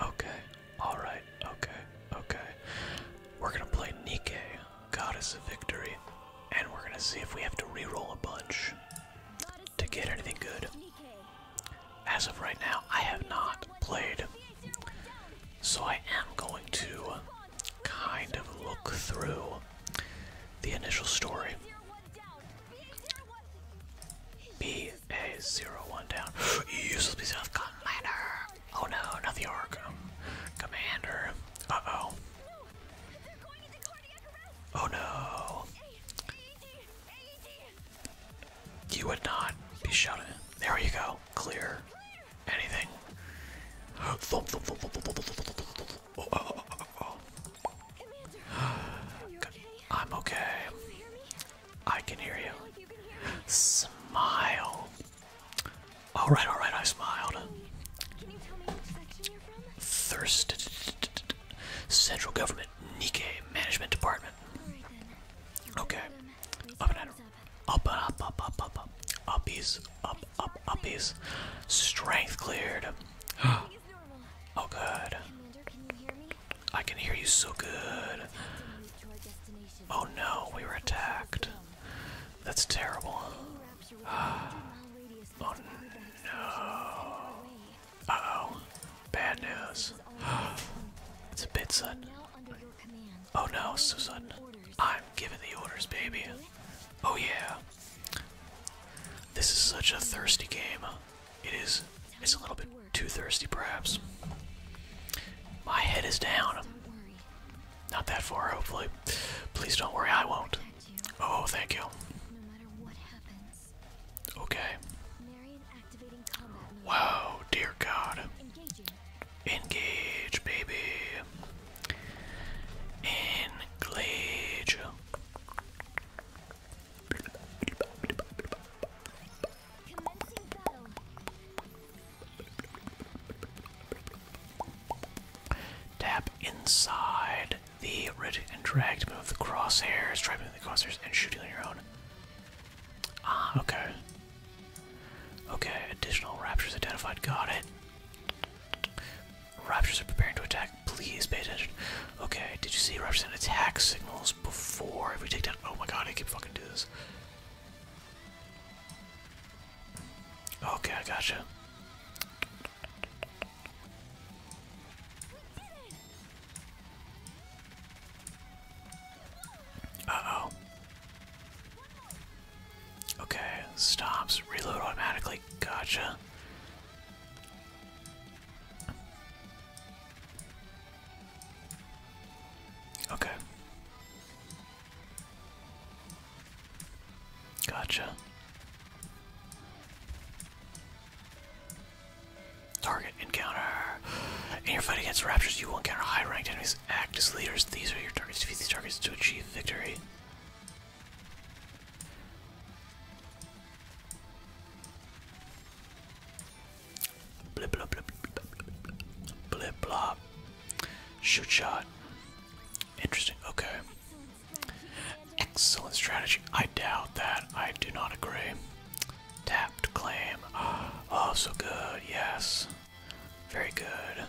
Okay, alright, okay, okay. We're gonna play Nike, Goddess of Victory, and we're gonna see if we have to re-roll a bunch to get anything good. As of right now, I have not played, so I am going to kind of look through the initial story. Be a is zero one down. Useless piece of commander. Oh no, not the orc. Um, commander. Uh oh. Oh no. You would not be shot There you go. Clear. Anything. I'm okay. I can hear you. Smile. All right, all right, I smiled. Thirst. Central Government Nikkei Management Department. Okay. Up and up, up, up, up, up, up. Uppies, up, up, uppies. Strength cleared. oh, good. I can hear you so good. Oh no, we were attacked. That's terrible. Ah. Oh no. Uh oh. Bad news. It's a bit Oh no, Susan. I'm giving the orders, baby. Oh yeah. This is such a thirsty game. It is it's a little bit too thirsty perhaps. My head is down. Not that far, hopefully. Please don't worry, I won't. Oh, thank you. Okay. Wow, dear God. Engage, baby. Engage. Tap inside the red and drag to move the crosshairs, try the crosshairs and shooting on your own. Ah, okay. Okay, additional raptors identified, got it. Raptors are preparing to attack, please pay attention. Okay, did you see raptors and attack signals? missiles before every takedown. Oh my god, I keep fucking do this. Okay, I gotcha. Uh oh. Okay, stops. Reload automatically. Gotcha. Okay. Gotcha. Target encounter. In your fight against raptors, you will encounter high ranked enemies. Act as leaders. These are your targets. Defeat these targets to achieve victory. Blip blah blip blip blah. Shoot shot. Interesting. Okay. Excellent strategy. I doubt that. I do not agree. Tapped claim. Oh, so good. Yes. Very good.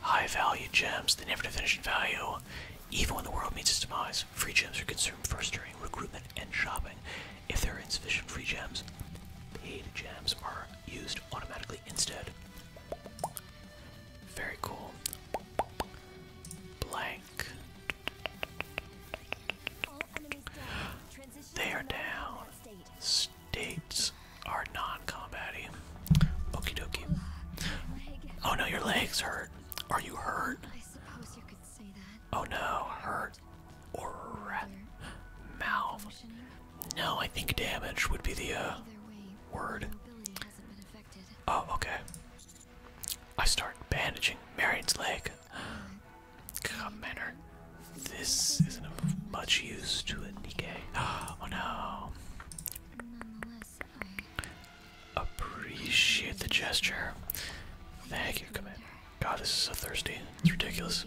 High value gems. They never diminish in value. Even when the world meets its demise, free gems are consumed first during recruitment and shopping. If there are insufficient free gems, paid gems are used automatically instead. Very cool. Blank. They are down. States are non combaty. Okie dokie. Oh no, your legs hurt. Are you hurt? Oh no, hurt or mouth. No, I think damage would be the uh, word. Oh, okay. I start bandaging Marion's leg. God, This isn't of much use to a Nikkei. Oh no. Appreciate the gesture. Thank you, Commander. God, this is so thirsty. It's ridiculous.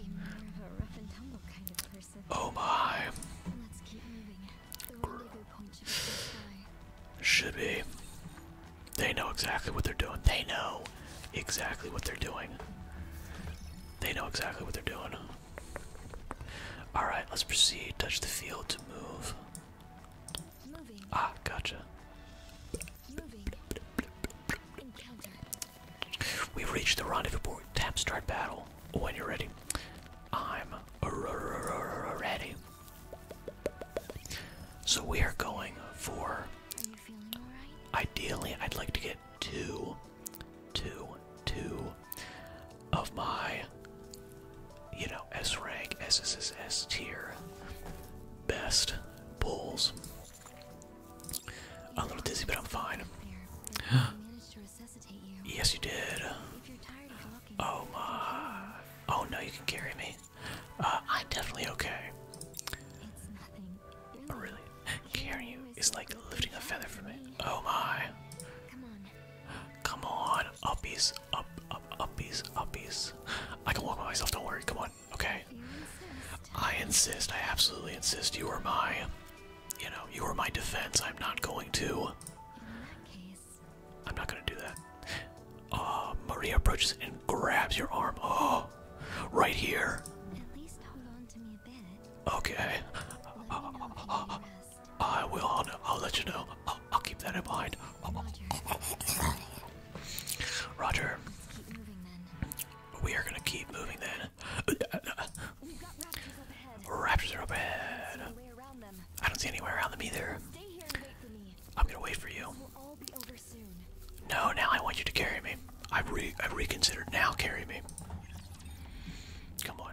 Oh my. Should be. They know exactly what they're doing. They know exactly what they're doing. They know exactly what they're doing. Alright, let's proceed. Touch the field to move. Ah, gotcha. We've reached the rendezvous point. Tap start battle when you're ready. I'm ready. So we are going for. All right? Ideally, I'd like to get two, two, two of my, you know, S rank, SSSS tier best bulls. I'm a little dizzy, but I'm fine. yes, you did. Oh my. Oh no, you can carry me. Uh, I'm definitely okay. Oh, really? Carrying you is like lifting a feather from me. Oh my. Come on, uppies, up, up, uppies, uppies. I can walk by myself, don't worry, come on. Okay. I insist. I absolutely insist. You are my, you know, you are my defense. I'm not going to. I'm not going to do that. Uh, Maria approaches and grabs your arm. Oh, right here. At least hold on to me a bit. Okay. I will. i I'll let you know. I'll keep that in mind. Roger. We are gonna keep moving then. Raptors are up ahead. I don't see anywhere around them either. I'm gonna wait for you. No, now I want you to carry me. I've re I've reconsidered. Now carry me. Come on.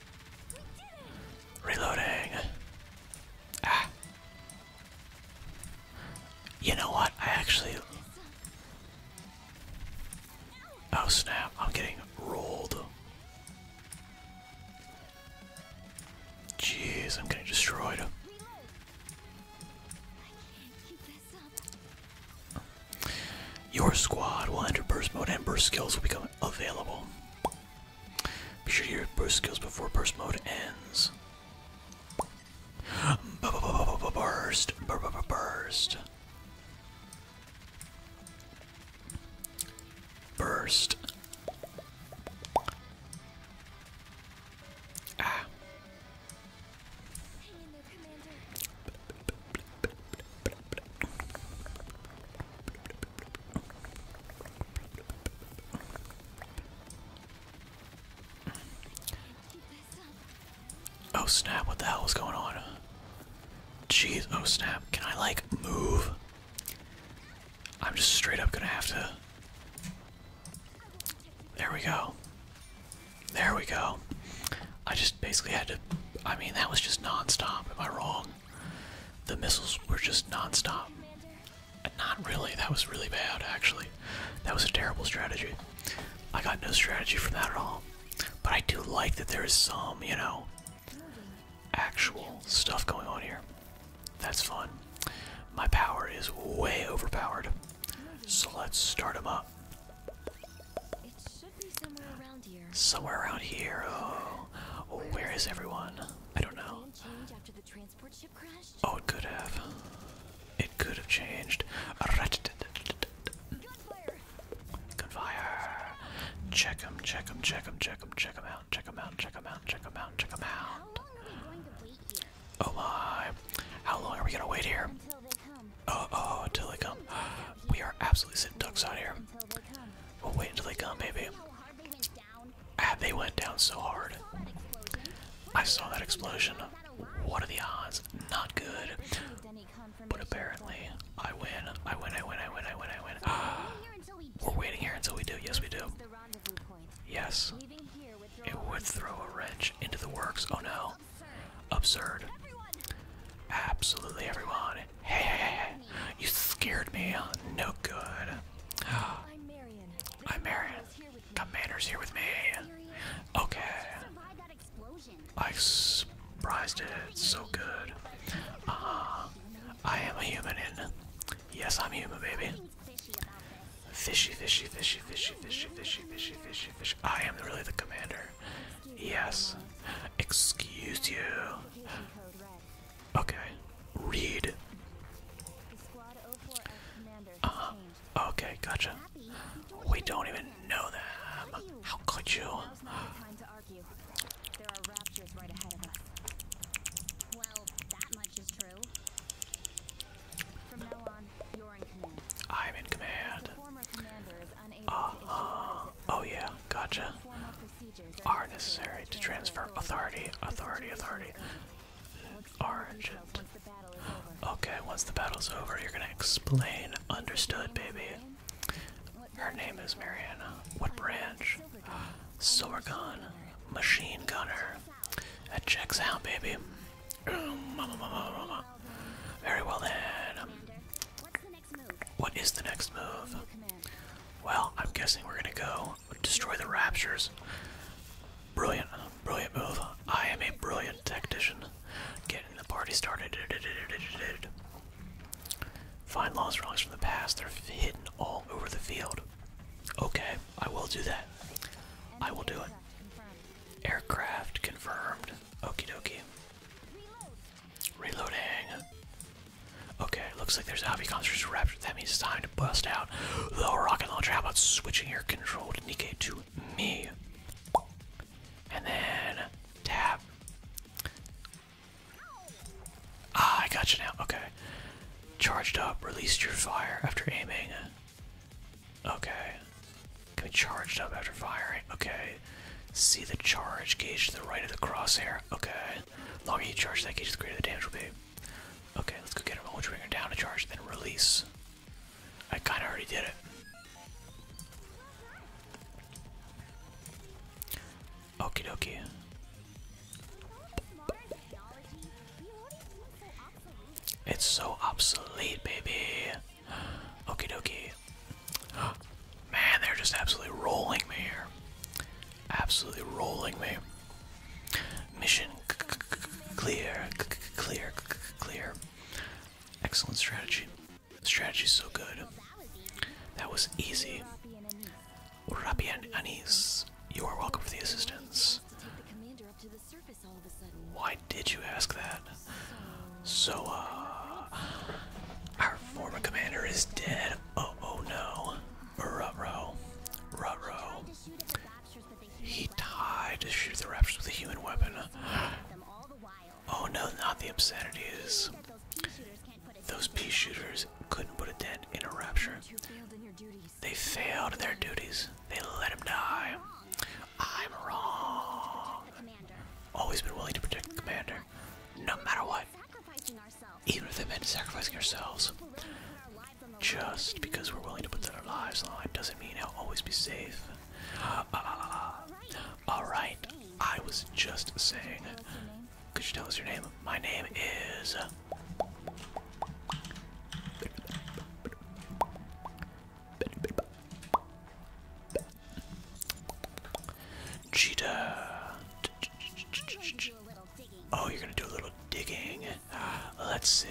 Reloading. Ah. You know what? I actually. Oh snap, I'm getting rolled. Jeez, I'm getting destroyed. Your squad will enter burst mode and burst skills will become available. Be sure to use burst skills before burst mode ends. Burst, burst, burst. Ah. Oh snap, what the hell is going on? Jeez, oh snap, can I like move? I'm just straight up gonna have to. There we go. There we go. I just basically had to. I mean, that was just non stop. Am I wrong? the missiles were just non-stop. Not really. That was really bad, actually. That was a terrible strategy. I got no strategy from that at all. But I do like that there is some, you know, actual stuff going on here. That's fun. My power is way overpowered. So let's start them up. It should be somewhere around here. Somewhere around here. Oh, oh where is everyone? I don't know. After the transport ship crashed? Oh, it could have. It could have changed. Gunfire. Check him, check him, check him, check him, check him out, check him out, check him out, check him out, check him out. Oh my. How long are we gonna wait here? Oh, oh, until they come. Uh, uh, we are absolutely sitting ducks out here. We'll oh, wait until they come, baby. Ah, they went down so hard. I saw that explosion. What are the odds? Not good. But apparently, I win. I win, I win, I win, I win, I win. Ah, we're waiting here until we do. Yes, we do. Yes. It would throw a wrench into the works. Oh no. Absurd. Absolutely everyone. Hey, hey, hey, you scared me. No good. I'm Marion. I'm Marion. Commander's here with me. Okay. I surprised it. So good. Uh -huh. I am a human in. Yes, I'm human, baby. Fishy, fishy, fishy, fishy, fishy, fishy, fishy, fishy, fishy. I am really the commander. Yes. Excuse you. Okay. Read. Uh -huh. Okay, gotcha. We don't even know them. How could you? There are raptors right ahead of us. Well, that much is true. I'm in command oh, oh yeah, gotcha. Are necessary to transfer authority, authority, authority. Origin. Okay, once the battle's over, you're gonna explain. Understood, baby. Her name is Mariana. What branch? Sorgon. Ah, Machine gunner. That checks out, baby. Very well then. What is the next move? Well, I'm guessing we're gonna go destroy the raptors. Brilliant, brilliant move. I am a brilliant tactician. Getting the party started. Find lost relics from the past. They're hidden all over the field. Okay, I will do that. I will do it. Aircraft confirmed. Okie dokie. Reloading. Okay, looks like there's Avi Concerts Rapture. That means it's time to bust out the rocket launcher. How about switching your control to Nikkei to me? And then tap. Ah, I got you now. Okay. Charged up, released your fire after aiming. Okay. Can be charged up after firing. Okay, See the charge gauge to the right of the crosshair. Okay. Longer you charge that gauge, the greater the damage will be. Okay, let's go get him. We'll bring her down to charge, then release. I kind of already did it. Okie dokie. It's so obsolete, baby. Okie dokie. Man, they're just absolutely rolling me here. Absolutely rolling me. Mission clear, clear, clear. Excellent strategy. Strategy is so good. That was easy. Rapi Anis, you are welcome for the assistance. Why did you ask that? So, uh, our former commander is dead. Oh, oh no. Ruh-roh. Ruh-roh. He died to shoot the raptors with a human weapon. Oh no, not the obscenity is. Those pea shooters couldn't put a dent in a rapture. They failed their duties. They let him die. I'm wrong. Always been willing to protect the commander, no matter what. Even if it meant sacrificing ourselves. Just because we're willing to put our lives on the line doesn't mean I'll always be safe. Uh, Alright, I was just saying. Could you tell us your name? My name is. Uh, Cheetah. Oh, you're gonna do a little digging. Let's see.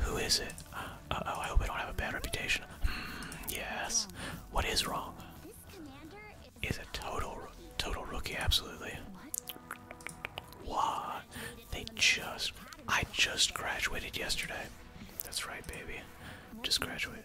Who is it? oh, I hope I don't have a bad reputation. Hmm, yes. What is wrong? Is a total, total rookie. Absolutely. What? They just. I just graduated yesterday. That's right, baby. Just graduated.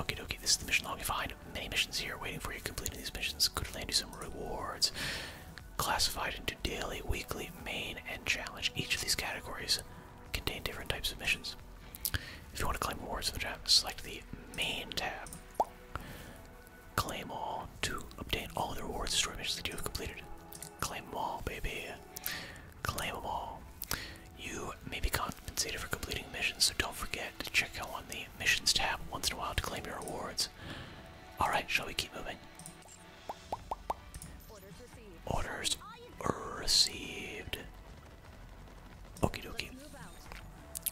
Okay, dokie, this is the mission log. You find many missions here waiting for you. Completing these missions could land you some rewards. Classified into daily, weekly, main, and challenge. Each of these categories contain different types of missions. If you want to claim rewards in the tab, select the main tab. Claim all to obtain all the rewards, Story missions that you have completed. Claim them all, baby claimable. You may be compensated for completing missions, so don't forget to check out on the missions tab once in a while to claim your rewards. Alright, shall we keep moving? Orders received. Okie dokie.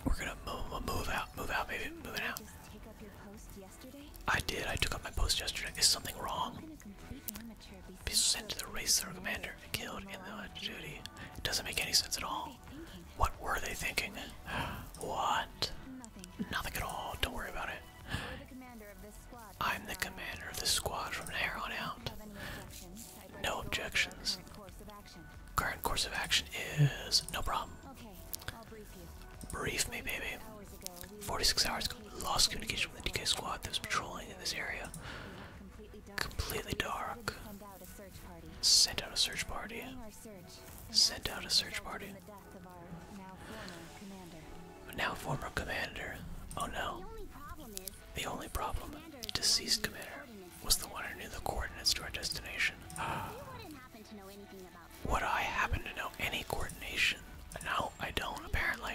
We're gonna move, move out, move out, baby, moving out. I did, I took up my post yesterday. Is something wrong? Be sent to the racer commander and killed uh, in the duty. It doesn't make any sense at all. What were they thinking? What? Nothing at all. Don't worry about it. I'm the commander of this squad from here on out. No objections. Current course of action is no problem. Brief me, baby. 46 hours ago, lost communication with the DK squad that was patrolling in this area. Completely dark. Sent out a search party. Sent out a search party. But now former commander. Oh no. The only problem, deceased commander, was the one who knew the coordinates to our destination. Ah. Would I happen to know any coordination? No, I don't, apparently.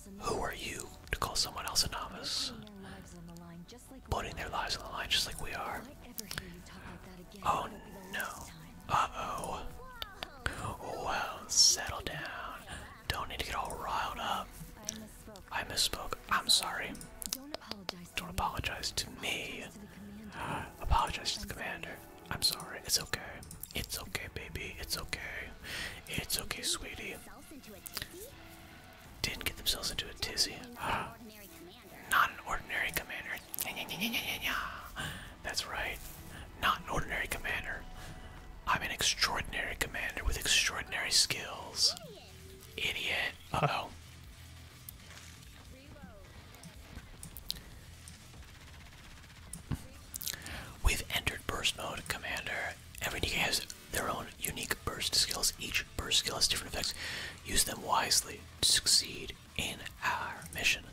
Who are you to call someone else a novice? Putting their lives on the line just like we are. Oh no. Uh oh. Well, settle down. Don't need to get all riled up. I misspoke. I'm sorry. Don't apologize to me. Uh, apologize to the commander. I'm sorry. It's okay. It's okay, baby. It's okay. It's okay, sweetie. Didn't get themselves into a tizzy. Ah. Not an ordinary commander. That's right. Not an ordinary commander. I'm an extraordinary commander with extraordinary skills. Idiot. Uh oh. We've entered burst mode, Commander. Every DK has their own unique burst skills. Each burst skill has different effects. Use them wisely to succeed in our mission.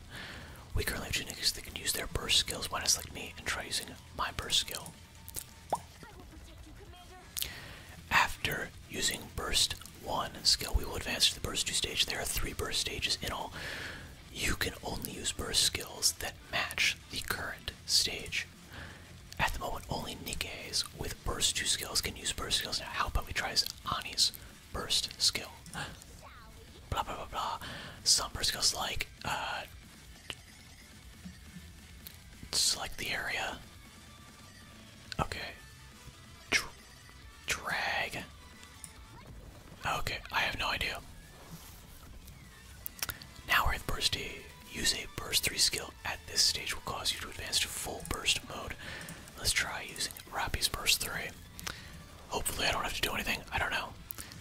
We currently have two niggas that can use their burst skills. One is like me and try using my burst skill. After using burst one skill, we will advance to the burst two stage. There are three burst stages in all. You can only use burst skills that match the current stage. At the moment, only Nikes with burst 2 skills can use burst skills. Now, how about we try Ani's burst skill? Blah blah blah blah. Some burst skills like uh, select the area. Okay. drag. Okay, I have no idea. Now we're in burst A. Use a burst 3 skill at this stage will cause you to advance to full burst mode. Let's try using Rappy's burst 3. Hopefully I don't have to do anything, I don't know.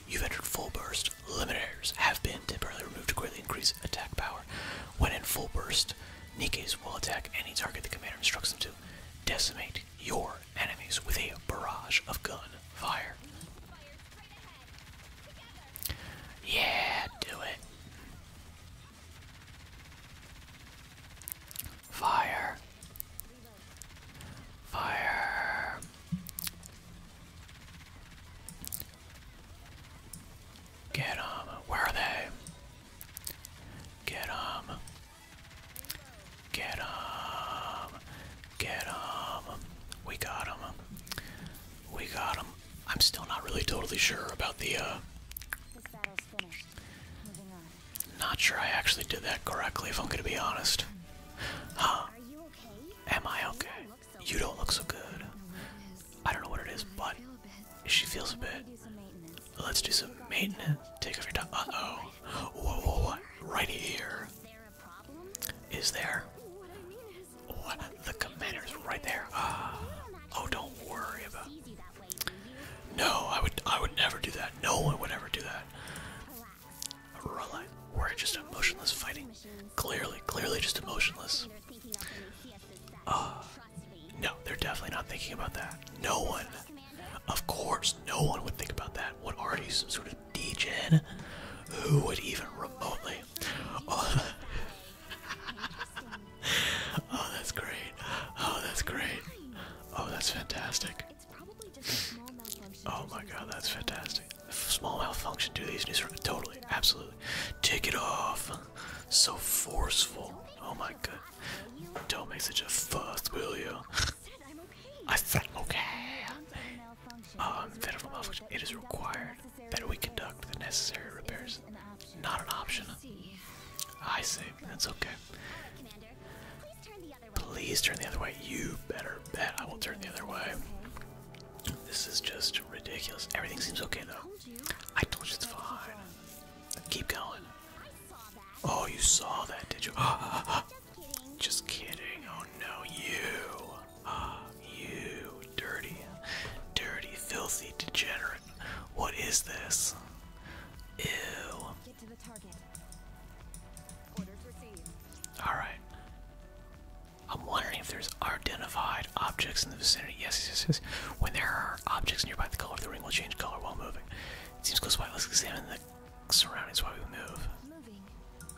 You've entered full burst. Limiters have been temporarily removed to greatly increase attack power. When in full burst, Nikes will attack any target the commander instructs them to. Decimate your enemies with a barrage of gun fire. Yeah, do it. Fire. Fire. Get them. Where are they? Get them. Get them. Get him. We got him. We got him. I'm still not really totally sure about the, uh... This battle's Not sure I actually did that correctly, if I'm gonna be honest. Huh. Am I okay? You don't look so good. I don't know what it is, but she feels a bit. Let's do some maintenance. Take off your top. Uh-oh. whoa. Right here is there. Oh, the commander's right there. Ah. oh, don't worry about. No, I would, I would never do that. No one would ever do that. Relax. We're just emotionless fighting. Clearly, clearly just emotionless. Uh, no, they're definitely not thinking about that. No one. Of course, no one would think about that. What are these sort Degen. Who would even remotely? Oh, oh, that's great. Oh, that's great. Oh, that's fantastic. Oh my god, that's fantastic. Small malfunction do these news totally, absolutely. Take it off. So forceful. Oh my god. Don't make such a fuss, will you? I felt okay. Um, federal malfunction. It is required that we conduct the necessary repairs. Not an option. I see. That's okay. Please turn the other way. You better bet I will turn the other way. This is just ridiculous. Everything seems okay though. I told you it's fine. Keep going. Oh, you saw that, did you? Ah, ah, ah. Just kidding. Oh no, you. Ah, you. Dirty. Dirty, filthy degenerate. What is this? Ew. Alright. I'm wondering if there's identified objects in the vicinity. Yes, yes, yes, When there are objects nearby, the color of the ring will change color while moving. It seems close by. Let's examine the surroundings while we move.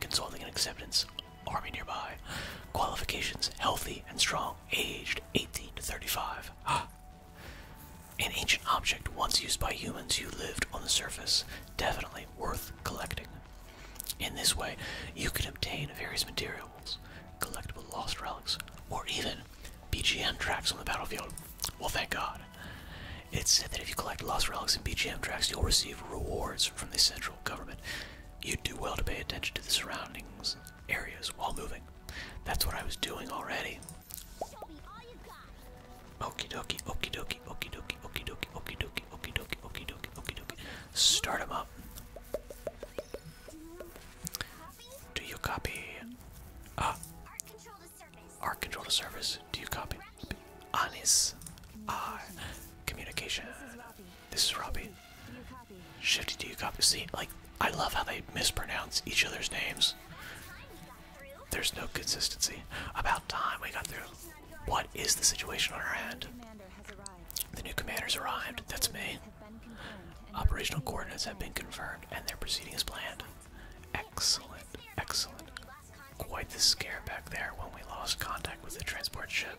consulting and acceptance, army nearby. Qualifications healthy and strong, aged 18 to 35. An ancient object once used by humans who lived on the surface, definitely worth collecting. In this way, you can obtain various materials, collectible lost relics, or even BGM tracks on the battlefield. Well, thank God. It's said that if you collect lost relics and BGM tracks, you'll receive rewards from the central government You'd do well to pay attention to the surroundings areas while moving. That's what I was doing already. Okie dokie, okie dokie, okie dokie, okie dokie, okie dokie, okie dokie, okie dokie, okie dokie. Start him up. Do you copy? Ah. Uh, Arc control to service. Do you copy? Anis. Ah. Uh, communication. This is Robbie. Shifty, do you copy? See, like, I love how they mispronounce each other's names. There's no consistency. About time we got through. What is the situation on our end? The new commander's arrived. That's me. Operational coordinates have been confirmed and their are proceeding as planned. Excellent, excellent. Quite the scare back there when we lost contact with the transport ship.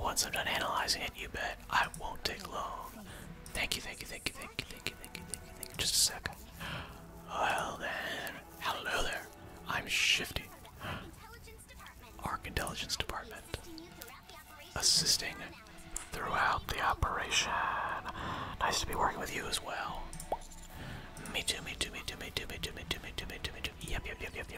Once I'm done analyzing it, you bet I won't take long. Thank you, thank you, thank you, thank you, thank you, thank you, thank you, thank you. Just a second. Well then, hello there. I'm Shifty. Arc Intelligence Department. Assisting throughout the operation. Nice to be working with you as well. Me too, me too, me too, me too, me too, me too, me too, me too, me too. Yep, yep, yep, yep, yep,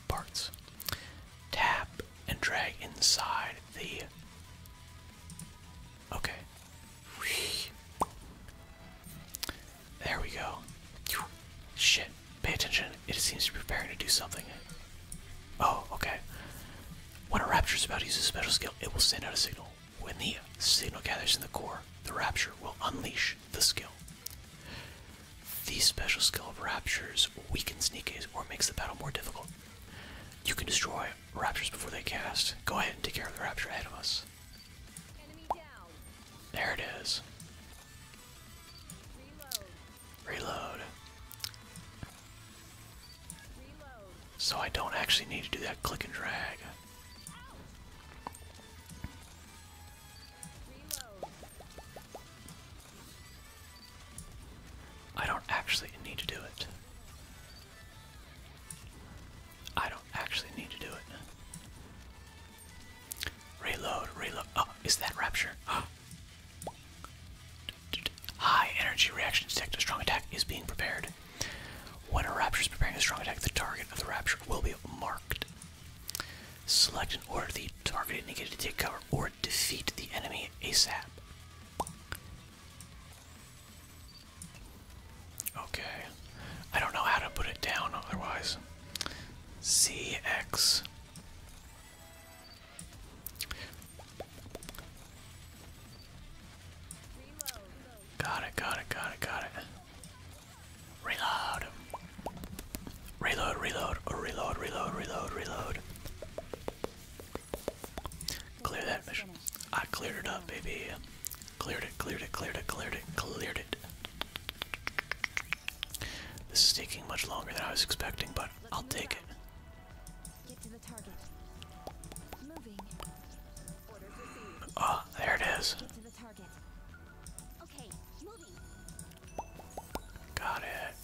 parts. Tap and drag inside the. Okay. There we go. Shit. Pay attention. It seems to be preparing to do something. Oh, okay. When a rapture is about to use a special skill, it will send out a signal. When the signal gathers in the core, the rapture will unleash the skill. These special skill of Raptures weakens Nikes or makes the battle more difficult. You can destroy Raptures before they cast. Go ahead and take care of the Rapture ahead of us. There it is. Reload. So I don't actually need to do that click and drag. I don't actually need to do it. I don't actually need to do it. Reload, reload. Oh, is that Rapture? Oh. High energy reaction detect. A strong attack is being prepared. When a Rapture is preparing a strong attack, the target of the Rapture will be marked. Select and order the target, negative to take cover or defeat the enemy ASAP. Okay. I don't know how to put it down otherwise. CX. Got it, got it, got it, got it. Reload. Reload, reload, reload, reload, reload, reload. Clear that mission. I cleared it up, baby. Cleared it, cleared it, cleared it, cleared it, cleared it. This is taking much longer than I was expecting, but I'll take it. Get ah, there it is target. Got it.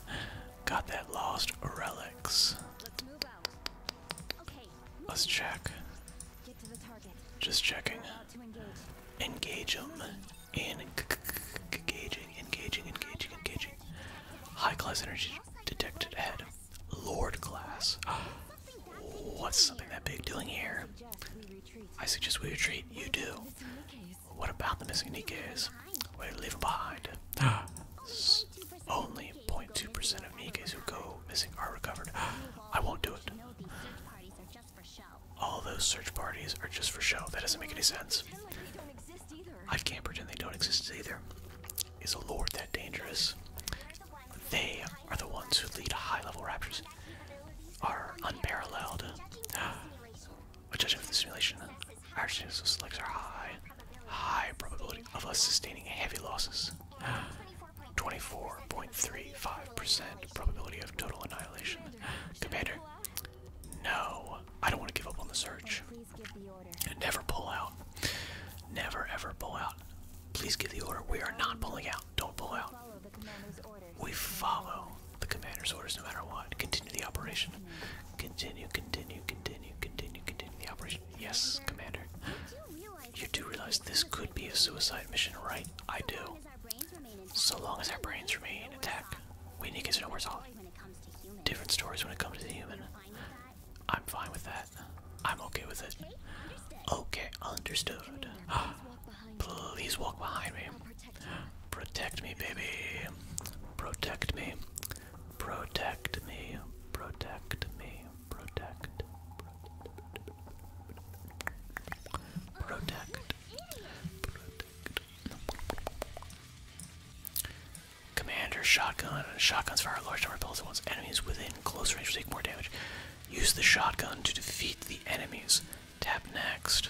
Got that lost relics. Let's move out. Okay. Let's check. Get to the target. Just checking. engage them. engaging, engaging, engaging, engaging. High class energy detected ahead. Lord class. What's something that big doing here? I suggest we retreat. You do. What about the missing Nikes? What do leaving leave them behind? Only 0.2% of Nikes who go missing are recovered. I won't do it. All those search parties are just for show. That doesn't make any sense. I can't pretend they don't exist either. Is a lord that dangerous? They are the ones who lead high level raptures, are unparalleled. We're judging from the simulation, our chances of selects are high. High probability of us sustaining heavy losses. 24.35% probability of total annihilation. Commander, no, I don't want to give up on the search. Never pull out. Never ever pull out. Please give the order. We are not pulling out. Don't pull out. We follow the commander's orders no matter what. Continue the operation. Continue, continue, continue, continue, continue the operation. Yes, commander. You do realize this could be a suicide mission, right? I do. So long as our brains remain intact, we need to know where's all. Different stories when it comes to the human. I'm fine with that. I'm okay with it. Okay, understood. Please walk behind me. Protect me, baby. Protect me. Protect me. Protect me. Protect. Protect. Protect. Commander shotgun. Shotguns fire large number of bullets at once. Enemies within close range will take more damage. Use the shotgun to defeat the enemies. Tap next.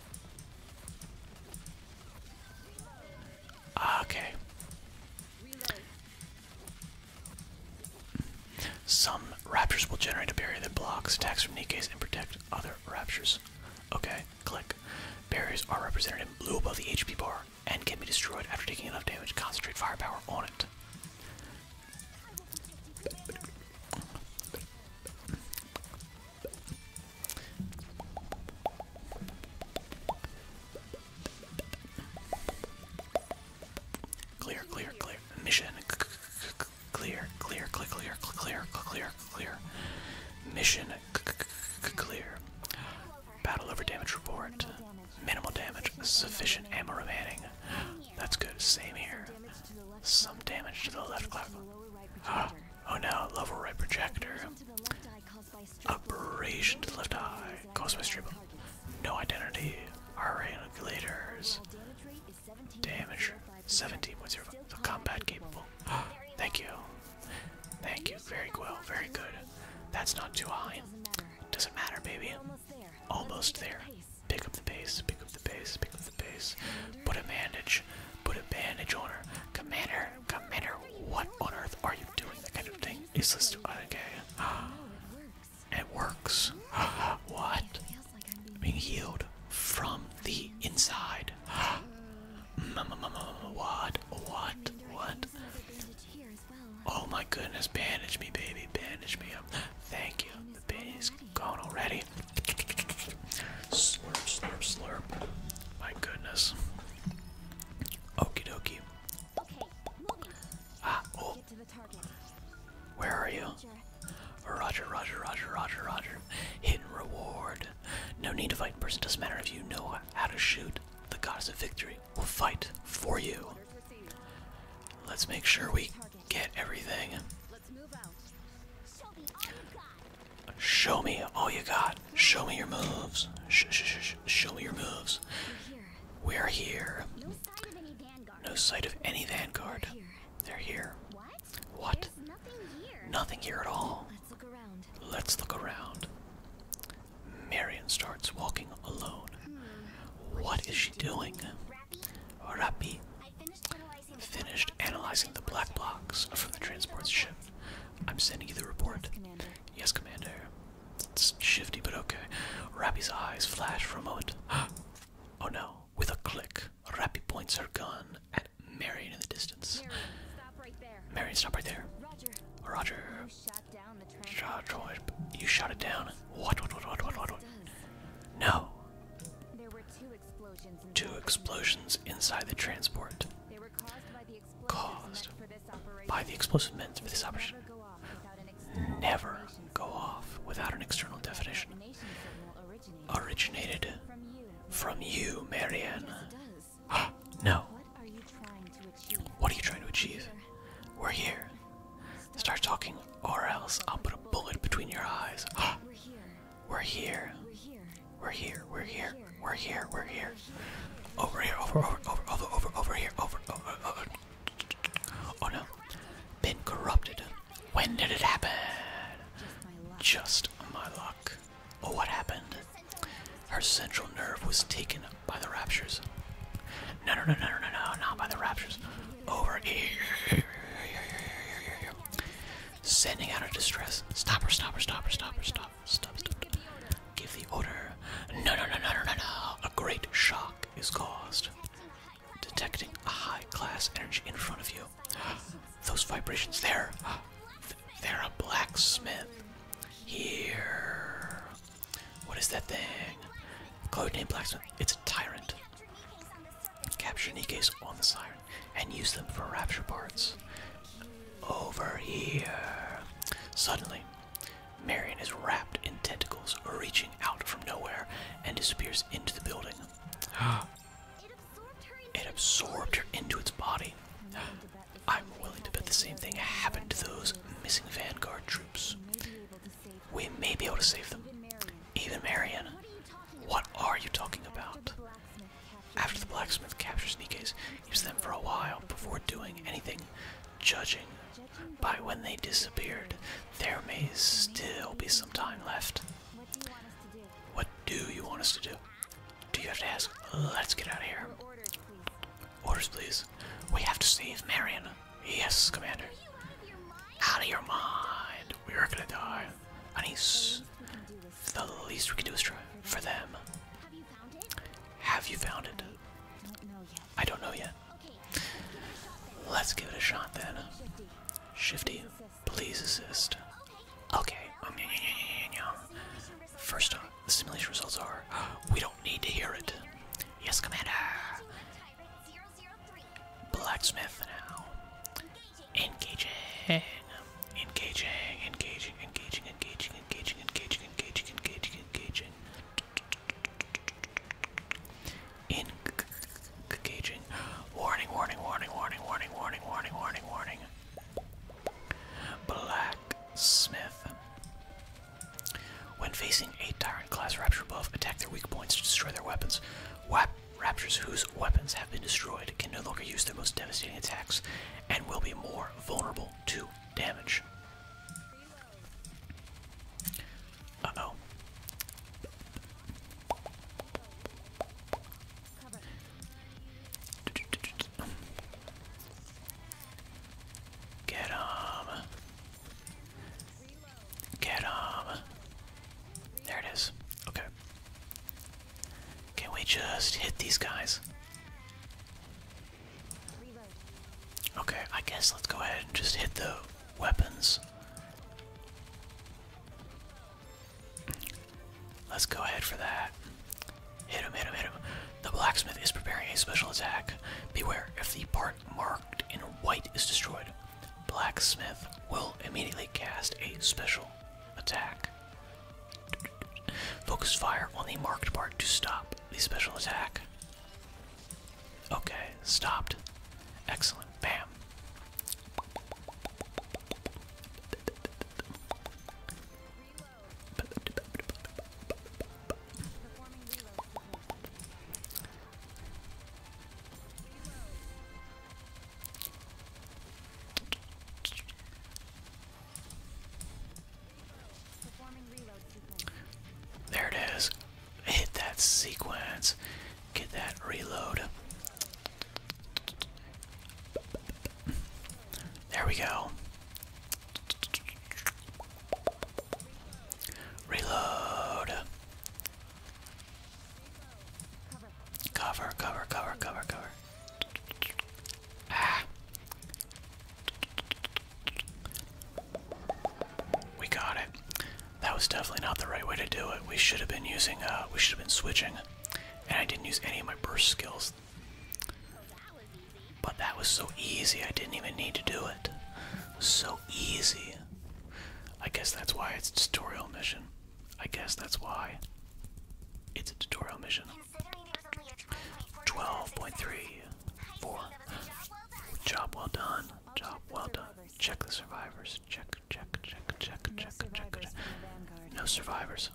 Ah, okay. Some raptors will generate a barrier that blocks attacks from Nikes and protect other raptures. Okay, click. Barriers are represented in blue above the HP bar and can be destroyed after taking enough damage. Concentrate firepower on it. Clear, clear, clear. Mission clear, clear, clear, clear, clear, clear, clear. Mission clear. Battle over damage report. Minimal damage. Sufficient ammo remaining. That's good. Same here. Some damage to the left Oh no, level right projector. Operation to the left eye, caused by stream. No identity. Our regulators. Damage 17.05. So combat capable. Thank you. Thank you. Very well. Very good. That's not too high. Doesn't matter, baby. Almost there. Pick up the pace pick up the base, Put a bandage, put a bandage on her. Commander, Commander, what on earth are you doing? That kind of thing. Is this okay? It works. What? Being healed from the inside. Mm, mm, mm, what? What? What? Oh my goodness, bandage me, baby, bandage me up. Thank you. The base gone already. Slurp, slurp, slurp. My goodness. Okie dokie. Ah, oh. Where are you? Roger, roger, roger, roger, roger. Hidden reward. No need to fight person. Doesn't matter if you know how to shoot. The goddess of victory will fight for you. Let's make sure we get everything. Show me all you got. Show me your moves. show me your moves. We're here. No sight of any vanguard. They're here. What? Nothing, here. at all. Let's look around. Marion starts walking alone. Hmm. what is she doing? Rappy? Finished analyzing the black blocks from the transport ship. I'm sending you the report. Yes, Commander. It's shifty, but okay. Rappy's eyes flash for a moment. Oh no. With a click, Rappy points her gun at Marion in the distance. Marion, stop right there. Marion, stop right there. Roger. Roger. You shot, down the shot, you shot it down. What, what, what, what, what, what? what? No. There were two Two explosions inside the transport. Caused by the explosive meant for this operation. Never go off without an external definition. Originated from you, Marianne. Ah, no. What are you trying to achieve? We're here. Start talking, or else I'll put a bullet between your eyes. Ah, we're here. We're here. We're here. We're here. We're here. Over here. Over. Over. Over. Over. Over. Over here. Over. Oh no. Been corrupted. When did it happen? Just my luck. Oh, what happened? Her central nerve was taken by the raptures. no, no, no, no, no, no, not by the raptures. Over here. Sending out a distress. Stop her, stop her, stop her, stop her, stop. Stop, stop. stop. Give the order. No, no, no, no, no, no, no. A great shock is caused. Detecting a high class energy in front of you. Those vibrations there. They're a blacksmith. Here. What is that thing? Codename Blacksmith. It's a tyrant. Capture Nikis on the siren and use them for rapture parts. Over here. Suddenly, Marion is wrapped in tentacles reaching out from nowhere and disappears into the building. it absorbed her into its body. I'm willing to bet the same thing happened to those missing Vanguard troops. We may be able to save them. Even Marion. What are you talking about? After the blacksmith captures Nikes, keeps them for a while before doing anything, judging by when they disappeared, there may still be some time left. What do you want us to do? Do you have to ask? Let's get out of here. Orders, please. We have to save Marion. Yes, Commander. Out of your mind. We are gonna die. And the least we can do is try for them. Have you found it? I don't know yet. Let's give it a shot then. Shifty, please assist. Okay. Um, First off, the simulation results are we don't need to hear it. Yes, Commander. Blacksmith now. Engaging, engaging, engaging, engaging, engaging, engaging, engaging, engaging, engaging, engaging, engaging. Warning, warning, warning, warning, warning, warning, warning, warning, warning. Blacksmith. When facing a Tyrant class Rapture buff, attack their weak points to destroy their weapons. Raptors, whose weapons have been destroyed, can no longer use their most devastating attacks and will be more vulnerable to damage. Uh oh. Get him. Get him. There it is. Okay. Can we just hit these guys? Okay, I guess let's go ahead and just hit the weapons. Let's go ahead for that. Hit him, hit him, hit him. The blacksmith is preparing a special attack. Beware, if the part marked in white is destroyed, Blacksmith will immediately cast a special attack. Focus fire on the marked part to stop the special attack. Okay, stopped. Excellent. Bam. There it is. Hit that sequence. Get that reload. There we go. Reload. Cover, cover, cover, cover, cover. Ah. We got it. That was definitely not the right way to do it. We should have been using, uh, we should have been switching. And I didn't use any of my burst skills. But that was so easy, I didn't even need to do it. So easy. I guess that's why it's tutorial mission. I guess that's why it's a tutorial mission. 12.3 4. Job well done. Job well done. Check the survivors. Check, check, check, check, check, check, check. No survivors.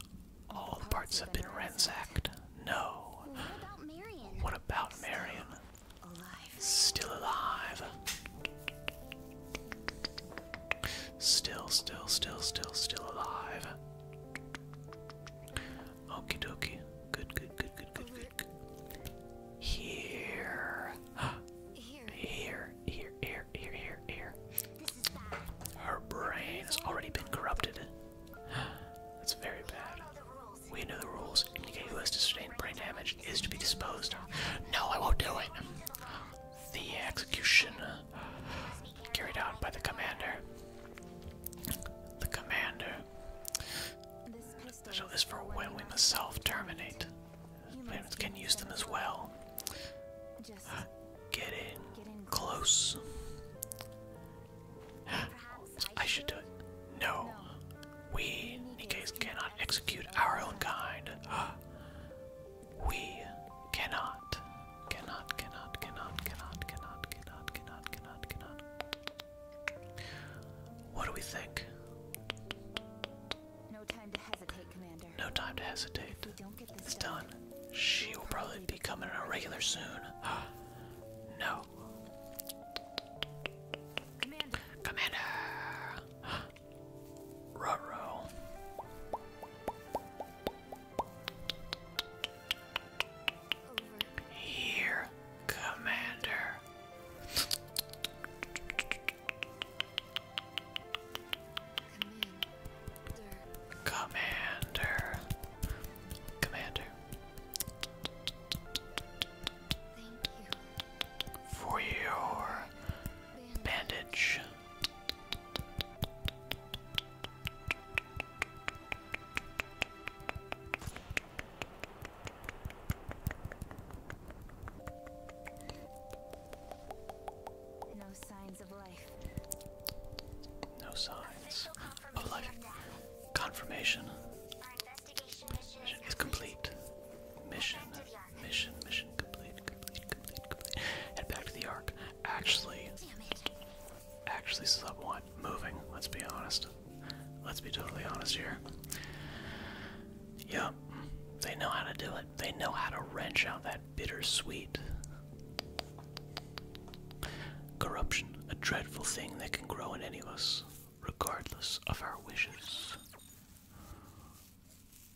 All the parts have been ransacked. No. What about Marion? Still alive. Still, still, still, still, still alive. Okie dokie. Good, good, good, good, good, good, Here. Here. Here, here, here, here, Her brain has already been corrupted. That's very bad. We know the rules. Indicate who has sustained brain damage is to be disposed No, I won't do it the execution carried out by the commander. The commander. So this for when we must self-terminate. Plants can use them as well. get in close. I should do it. No. We, Nikais cannot execute our own kind. We cannot, cannot, cannot, cannot, cannot, cannot, cannot, cannot, cannot, cannot. What do we think? No time to hesitate, Commander. No time to hesitate. It's done. She will probably be coming on a regular soon. no. Commander. Commander. ruh Here, Commander. Commander. Commander. For your bandage. No signs of life. No signs of life. Confirmation. Mission is complete. Mission Mission, mission complete, complete, complete, complete. Head back to the Ark. Actually, actually, sub one. Moving. Let's be honest. Let's be totally honest here. Yep, they know how to do it. They know how to wrench out that bitter sweet Corruption, a dreadful thing that can grow in any of us, regardless of our wishes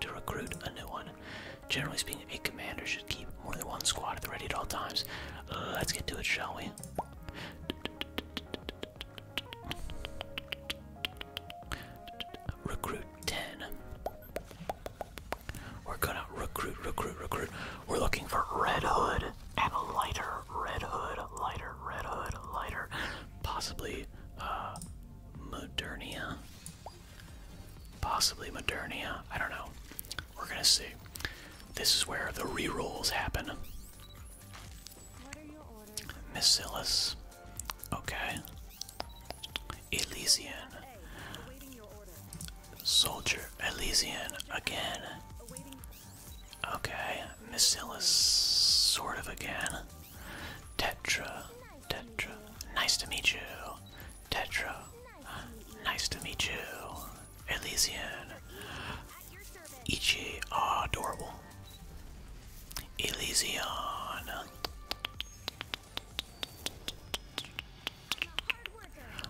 to recruit a new one. Generally speaking, a commander should keep more than one squad at the ready at all times. Let's get to it, shall we? Recruit 10. We're gonna recruit, recruit, recruit. We're looking for Red Hood and a lighter Red Hood, lighter Red Hood, lighter. Possibly, uh, Modernia. Possibly Modernia. I don't know. We're gonna see. This is where the re rolls happen. Miscellus. Okay. Elysian. Soldier. Elysian again. Okay. Miscellus. Sort of again. Tetra, Tetra, nice to meet you. Tetra, nice to meet you. Elysian, Ichi, oh, adorable. Elysian,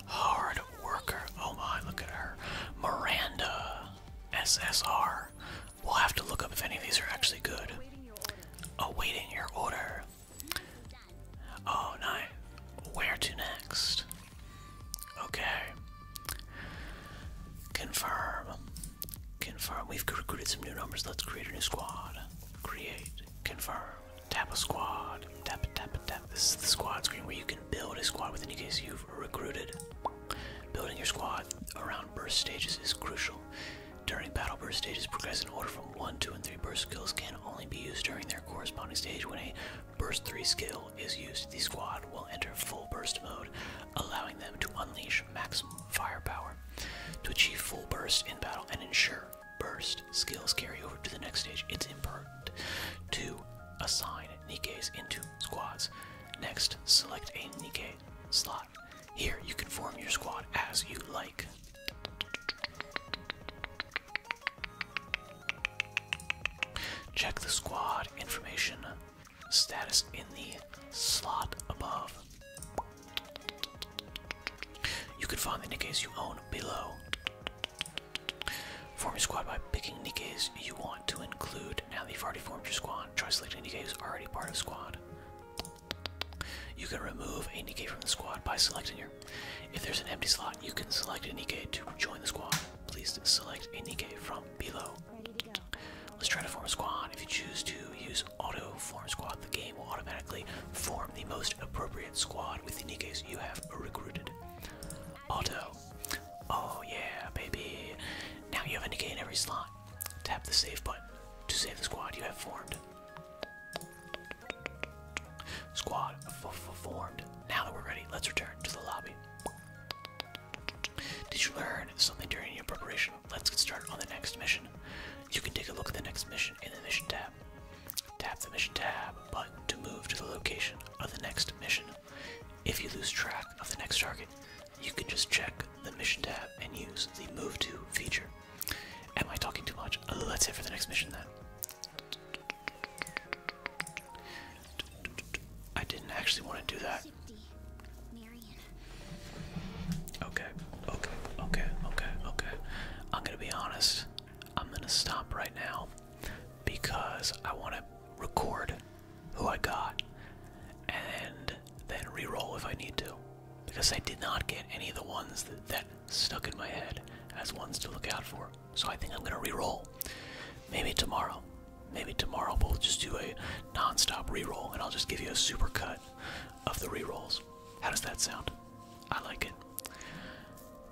hard worker. Oh my, look at her. Miranda, SSR. We'll have to look up if any of these are actually good. Awaiting oh, your order. Oh, nine. Where to next? Okay. Confirm. Confirm. We've recruited some new numbers. Let's create a new squad. Create. Confirm. Tap a squad. Tap it, tap it, tap. This is the squad screen where you can build a squad with any case you've recruited. Building your squad around burst stages is crucial. During battle burst stages, progress in order from 1, 2, and 3 burst skills can only be used during their corresponding stage. When a burst 3 skill is used, the squad will enter full burst mode, allowing them to unleash maximum firepower. To achieve full burst in battle and ensure burst skills carry over to the next stage, it's important to assign Nikes into squads. Next, select a Nikkei slot here, you can form your squad as you like. Check the squad information status in the slot above. You can find the Nikes you own below. Form your squad by picking Nikes you want to include. Now that you've already formed your squad, try selecting Nikes already part of squad. You can remove a Nikkei from the squad by selecting here. If there's an empty slot, you can select a Nikkei to join the squad. Please select a Nikkei from below. Let's try to form a squad. If you choose to use auto form squad, the game will automatically form the most appropriate squad with the Nikkeis you have recruited. Auto. Oh yeah, baby. Now you have a Nikkei in every slot. Tap the save button to save the squad you have formed. Squad formed. Now that we're ready, let's return to the lobby. Did you learn something during your preparation? Let's get started on the next mission. You can take a look at the next mission in the mission tab. Tap the mission tab button to move to the location of the next mission. If you lose track of the next target, you can just check the mission tab and use the move to feature. Am I talking too much? Uh, that's it for the next mission then. I didn't actually want to do that. Okay, okay, okay, okay, okay. I'm gonna be honest. I'm gonna stop right now because I want to record who I got and then re-roll if I need to. Because I did not get any of the ones that, stuck in my head as ones to look out for. So I think I'm gonna re-roll. Maybe tomorrow. Maybe tomorrow we'll just do a non-stop re-roll and I'll just give you a super cut of the re-rolls. How does that sound? I like it.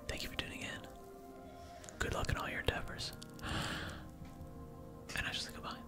Thank you for tuning in. Good luck in all your endeavors. And I just say goodbye.